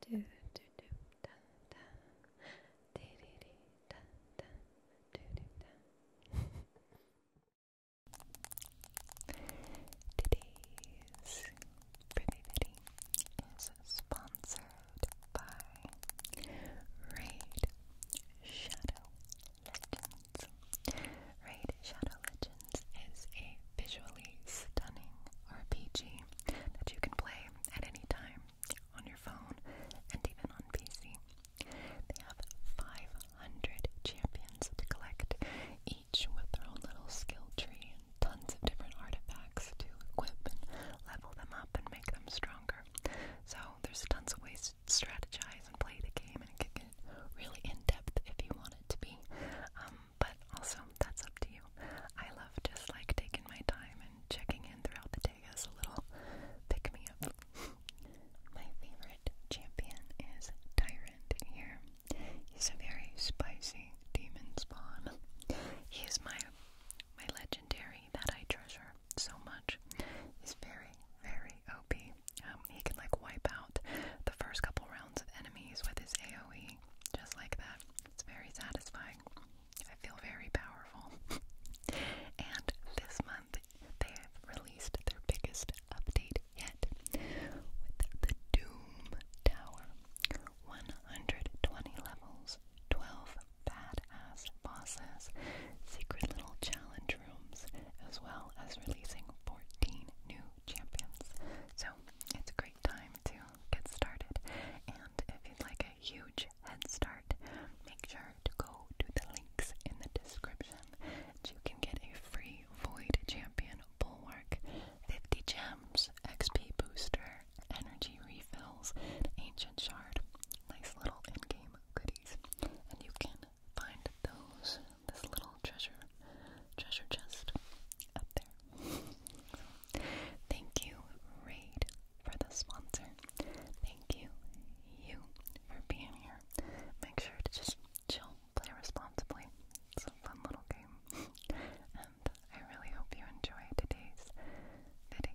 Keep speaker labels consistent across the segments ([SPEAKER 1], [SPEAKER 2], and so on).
[SPEAKER 1] do do do da da dee dee dee da da do do da Today's pretty bitty is sponsored by Raid
[SPEAKER 2] Shadow Legends. Raid Shadow Legends is a visually stunning RPG that you can play at any time on your phone and even on PC. They have 500 champions to collect, each with their own little skill tree and tons of different artifacts to equip and level them up and make them stronger. So there's tons of ways to strategize and play the game and it get really in depth if you want it to be. Um, but also, that's up to you. I love just like taking my time and checking in throughout the day as a little pick me up. my favorite champion is Tyrant here. He's a very spicy demon spawn. He's my my legendary that I treasure so much. He's very, very OP. Um, he can like wipe out the first couple rounds of enemies with his AoE just like that. It's very satisfying. I feel very powerful. and this month, they have released their biggest update yet with the Doom Tower 120 levels, 12 bad-ass bosses, secret little challenge rooms, as well as releasing 14 new champions. So it's a great time to tutorial started. And if you'd like a huge head start, make sure to go to the links in the description you can get a free Void Champion Bulwark, 50 gems, XP booster, energy refills, ancient shard. Nice little in-game goodies. And you can find those, this little treasure, treasure chest up there. Thank you, Raid, for the sponsor. Thank you, you, for being here. Make sure to just chill, play responsibly. It's a fun little game. and I really hope you enjoy today's video.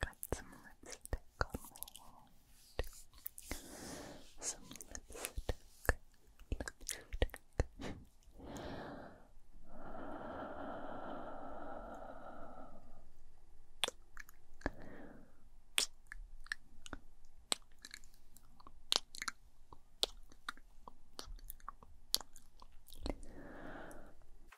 [SPEAKER 2] Got some lipstick on my Some lipstick. Lipstick.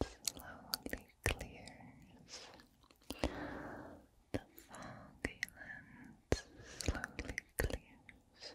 [SPEAKER 2] that slowly clears. The foggy lens slowly clears.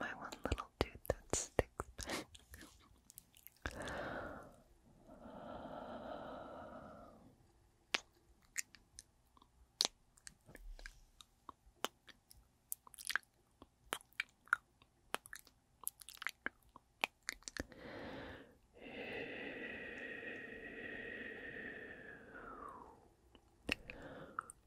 [SPEAKER 2] My one little tooth that sticks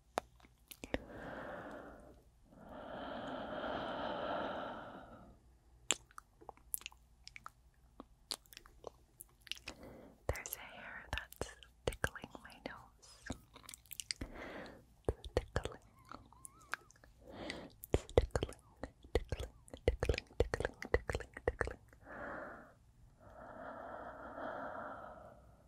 [SPEAKER 1] There's a hair that's tickling my nose. It's tickling. tickling, tickling, tickling, tickling, tickling, tickling.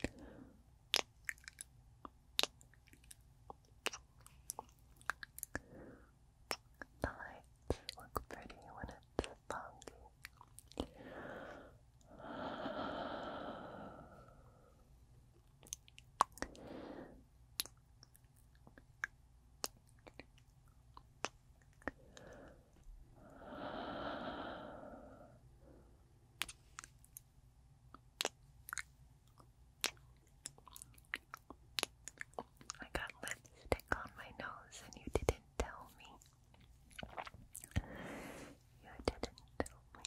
[SPEAKER 1] The lights look pretty when it's foggy. I got lipstick on my nose and you didn't tell me. You didn't tell me.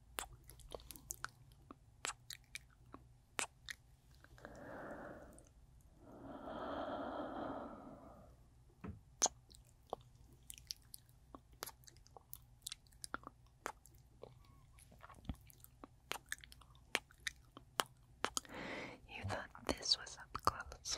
[SPEAKER 1] You thought this was up close.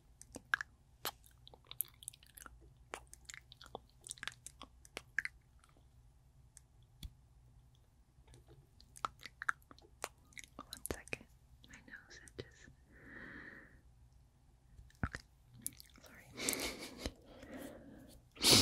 [SPEAKER 1] One second, my nose itches. Okay, sorry.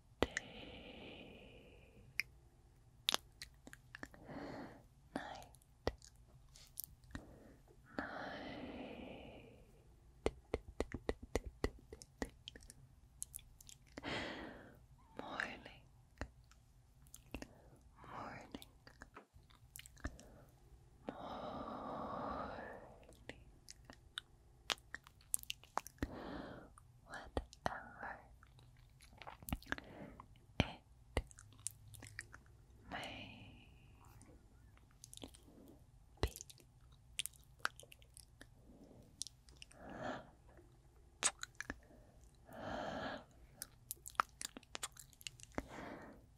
[SPEAKER 1] morning, morning. Morning, whatever it may be. Love,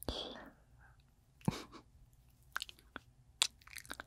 [SPEAKER 1] love, love.